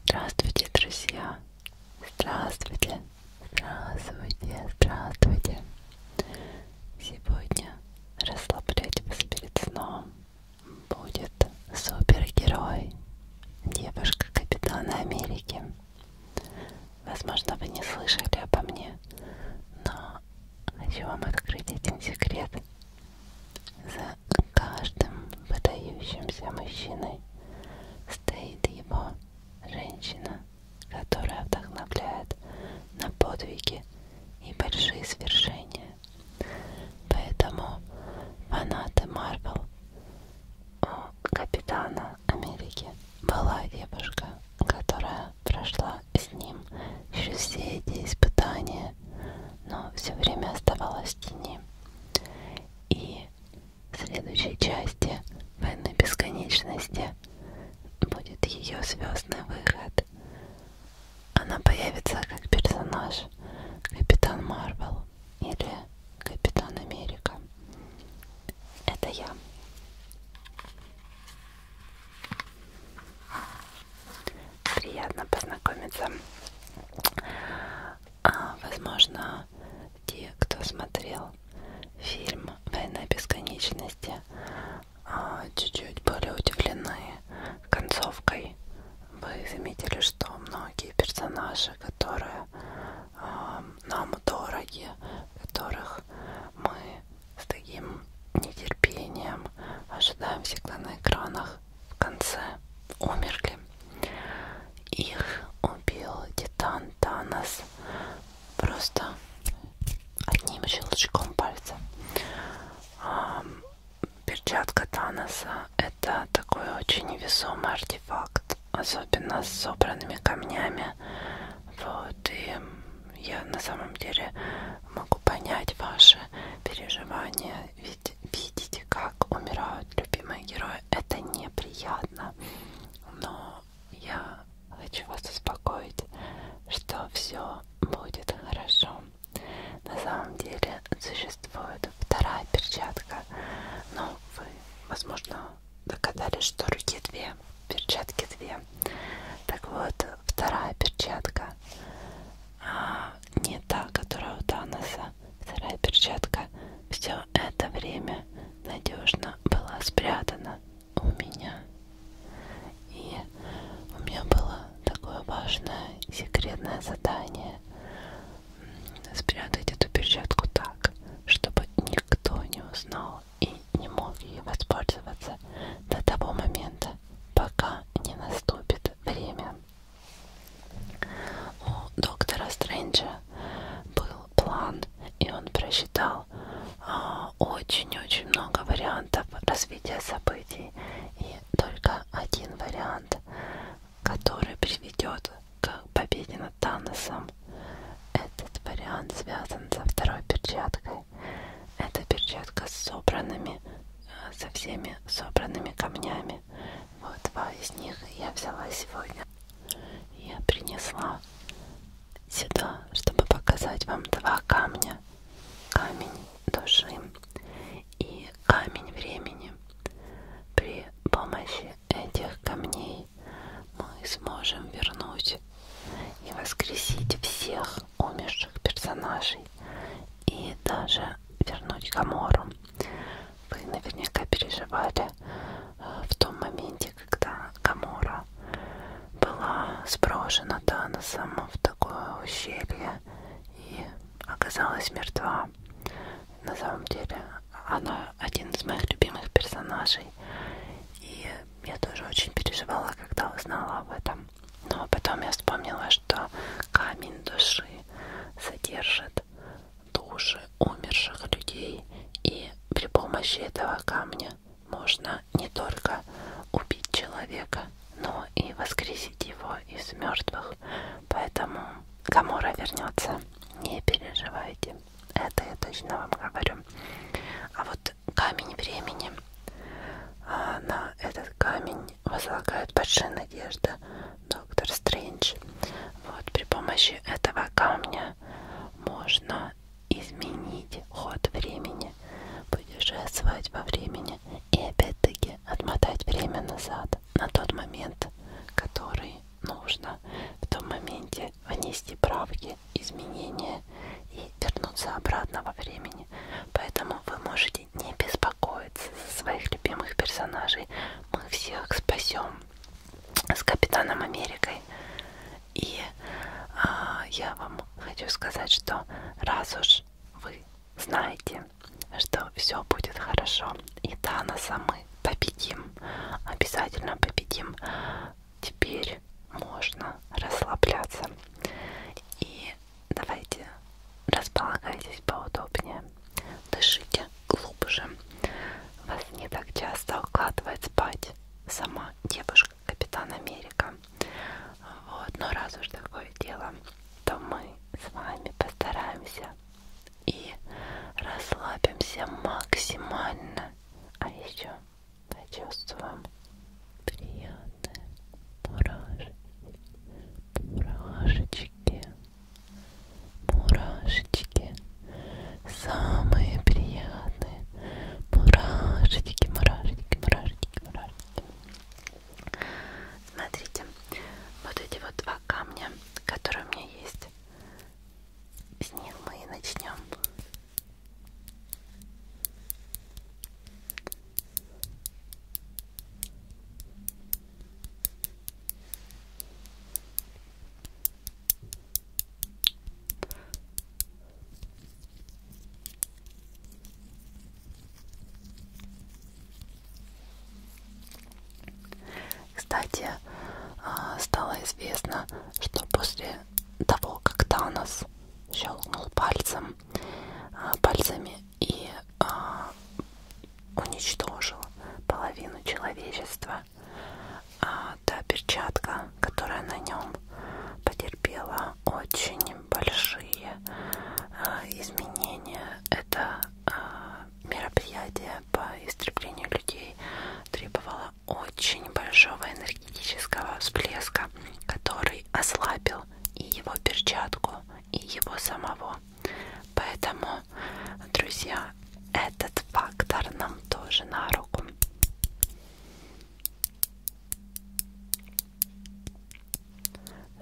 Здравствуйте, друзья! Здравствуйте! Здравствуйте! Здравствуйте! Сегодня расслаблять вас перед сном будет супергерой, девушка Капитана Америки. Возможно, вы не слышали обо мне, но хочу вам открыть один секрет. За каждым выдающимся мужчиной стоит его женщина, которая вдохновляет на подвиги и большие свершения. Поэтому фанаты Марвел у Капитана Америки была девушка, которая прошла с ним через все эти испытания стены, но все время оставалась в тени. И в следующей части войны бесконечности будет ее звездный выход. Она появится как персонаж Капитан Марвел или Капитан Америка. Это я. Приятно познакомиться. А, возможно, те, кто смотрел фильм «Война бесконечности», а, чуть-чуть были удивлены концовкой. Вы заметили, что многие персонажи, которые э, нам дороги, которых мы с таким нетерпением ожидаем всегда на экранах, в конце умерли. Их убил Титан Танос просто одним щелчком пальца. Перчатка Таноса это такой очень невесомый артефакт, особенно с собранными камнями. Вот и я на самом деле могу понять ваши переживания ведь видите, как умирают любимые герои. Это неприятно. Но я хочу вас успокоить, что все будет хорошо. На самом деле существует вторая перчатка. Но вы, возможно, догадались, что руки две, перчатки две. Так вот, вторая перчатка а, не та, которая у Таноса, вторая перчатка, все это время надежно была спрятана у меня. И у меня было такое важное секретное задание спрятать эту перчатку так, чтобы никто не узнал и не мог ей воспользоваться до того момента, пока пока не наступит время. У доктора Стрэнджа был план, и он просчитал а, очень-очень много вариантов развития событий. И только один вариант, который приведет к победе над Таносом. Этот вариант связан со второй перчаткой. Это перчатка с собранными, э, со всеми собранными камнями. Вот два из них я взяла сегодня. Я принесла сюда, чтобы показать вам два камня. Камень души и камень времени. При помощи этих камней мы сможем вернуть и воскресить всех умерших персонажей и даже вернуть Гамору. Вы наверняка переживали э, в том моменте, когда Гамора была сброшена Таносом в такое ущелье и оказалась мертва. На самом деле она один из моих любимых персонажей. И я тоже очень переживала, когда узнала об этом. Но потом я вспомнила, что камень души содержит души умерших людей, и при помощи этого камня можно не только убить человека, но и воскресить его из мертвых. Поэтому Камора вернется, не переживайте. Это я точно вам говорю. А вот этот камень времени. А на этот камень возлагают большие надежды доктор Стрэндж. Вот при помощи этого камня можно изменить ход времени, путешествовать во времени и опять-таки отмотать время назад на тот момент, который нужно в том моменте внести правки внести изменения и вернуться обратно во времени. Поэтому вы можете не беспокоиться за своих любимых персонажей. Мы всех спасем с Капитаном Америкой. И а, я вам хочу сказать, что раз уж вы знаете, что все будет хорошо, и Таноса мы победим, обязательно победим. Теперь можно расслабляться. И давайте располагайтесь поудобнее, дышите глубже. Вас не так часто укладывает спать сама девушка Капитан Америка. Вот, но раз уж такое дело, то мы с вами постараемся и расслабимся максимально. А еще почувствуем приятные мурашечки, мурашечки, мурашечки, самые приятные мурашечки, мурашечки, мурашечки, мурашечки. Смотрите, вот эти вот два камня, которые у меня есть, с них мы и начнем. Кстати, а, стало известно, что после того, как Танос щелкнул пальцем, а, пальцами и а, уничтожил половину человечества. А, та перчатка, которая на нем потерпела очень большие а, изменения. Это а, мероприятие по истреблению людей требовало очень большого энергетического всплеска, который ослабил и его перчатку, и его самого. Поэтому, друзья, этот фактор нам тоже на руку.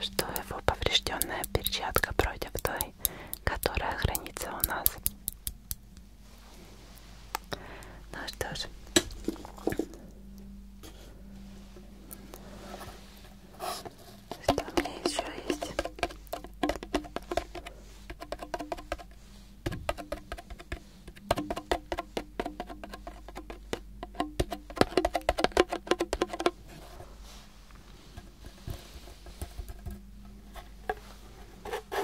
Что его поврежденная перчатка против той, которая хранится у нас. Ну что ж. Что у меня еще есть?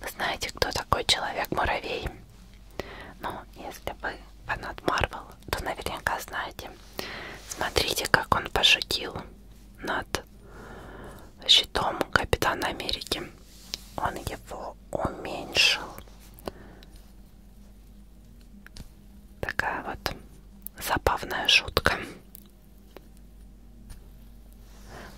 Вы знаете, кто такой человек-муравей? Ну, если вы фанат Марвел, то наверняка знаете. Смотрите, как он пошутил над щитом Капитана Америки. Он его уменьшил. Такая вот забавная шутка.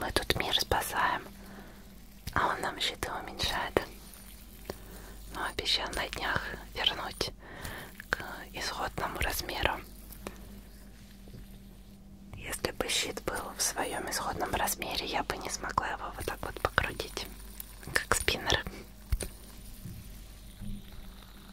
Мы тут мир спасаем, а он нам щиты уменьшает. Но обещал на днях вернуть к исходному размеру. Если бы щит был в своем исходном размере, я бы не смогла его вот так вот покрутить, как спиннер.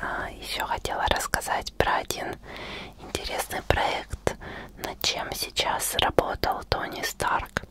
А, Еще хотела рассказать про один интересный проект, над чем сейчас работал Тони Старк.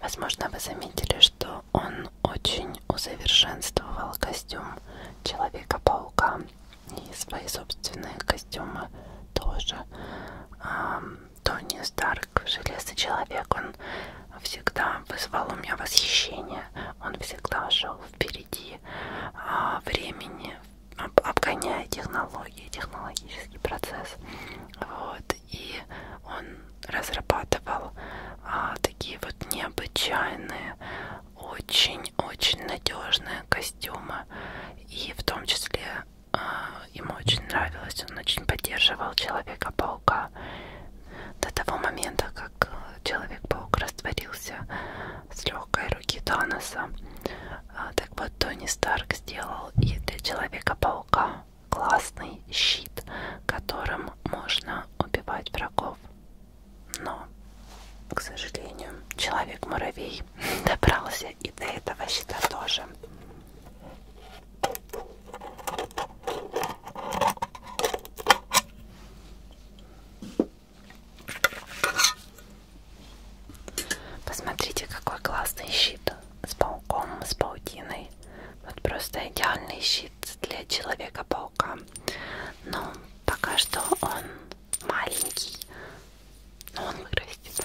Возможно, вы заметили, что он очень усовершенствовал костюм Человека-паука и свои собственные костюмы тоже. А, Тони Старк, Железный Человек, он всегда вызвал у меня восхищение. Он всегда шел впереди и а, времени, об, обгоняя технологии, технологический процесс. Вот, и он разрабатывал а, такие вот необычайные, очень-очень надежные костюмы. И в том числе а, ему очень нравилось, он очень поддерживал Человека-паука до того момента, как Человек-паук растворился с легкой руки Таноса. А, так вот, Тони Старк сделал и для Человека-паука классный щит, которым можно убивать врагов. Но, к сожалению, Человек-муравей добрался и до этого щита тоже. Посмотрите, какой классный щит с пауком, с паутиной. Вот просто идеальный щит для человека-паука. Но пока что он маленький. Но он вырастет.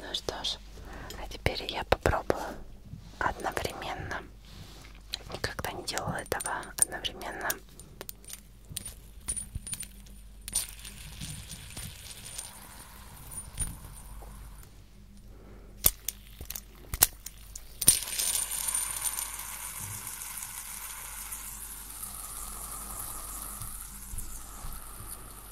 Ну что ж, а теперь я попробую одновременно. Никогда не делала этого одновременно.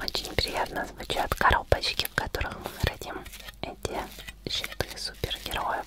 Очень приятно звучат коробочки, в которых мы храним эти щиты супергероев.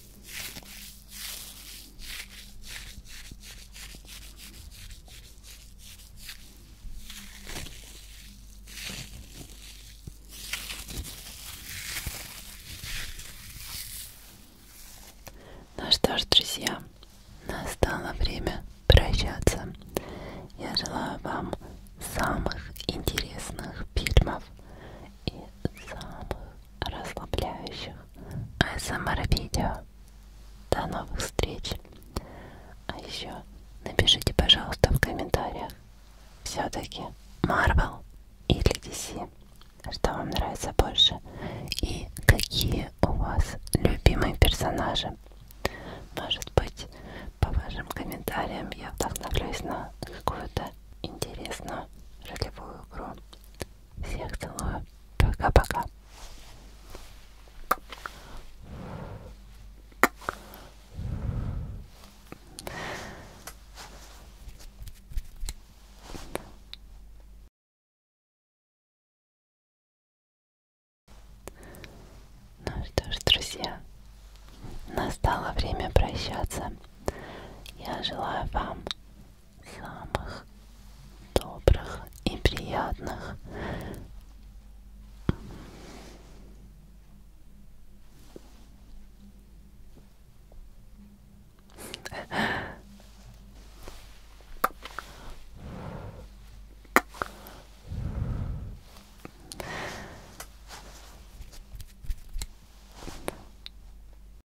Ну что ж, друзья, настало время прощаться. Я желаю вам самых интересных фильмов и самых расслабляющих АСМР-видео. До новых встреч! А еще напишите, пожалуйста, в комментариях все-таки Marvel или DC, что вам нравится больше и какие у вас любимые персонажи. Может быть, по вашим комментариям я вдохновлюсь на какую-то интересную ролевую игру. Всех целую. Пока-пока. Ну что ж, друзья, настало время прощаться. Я желаю вам самых добрых и приятных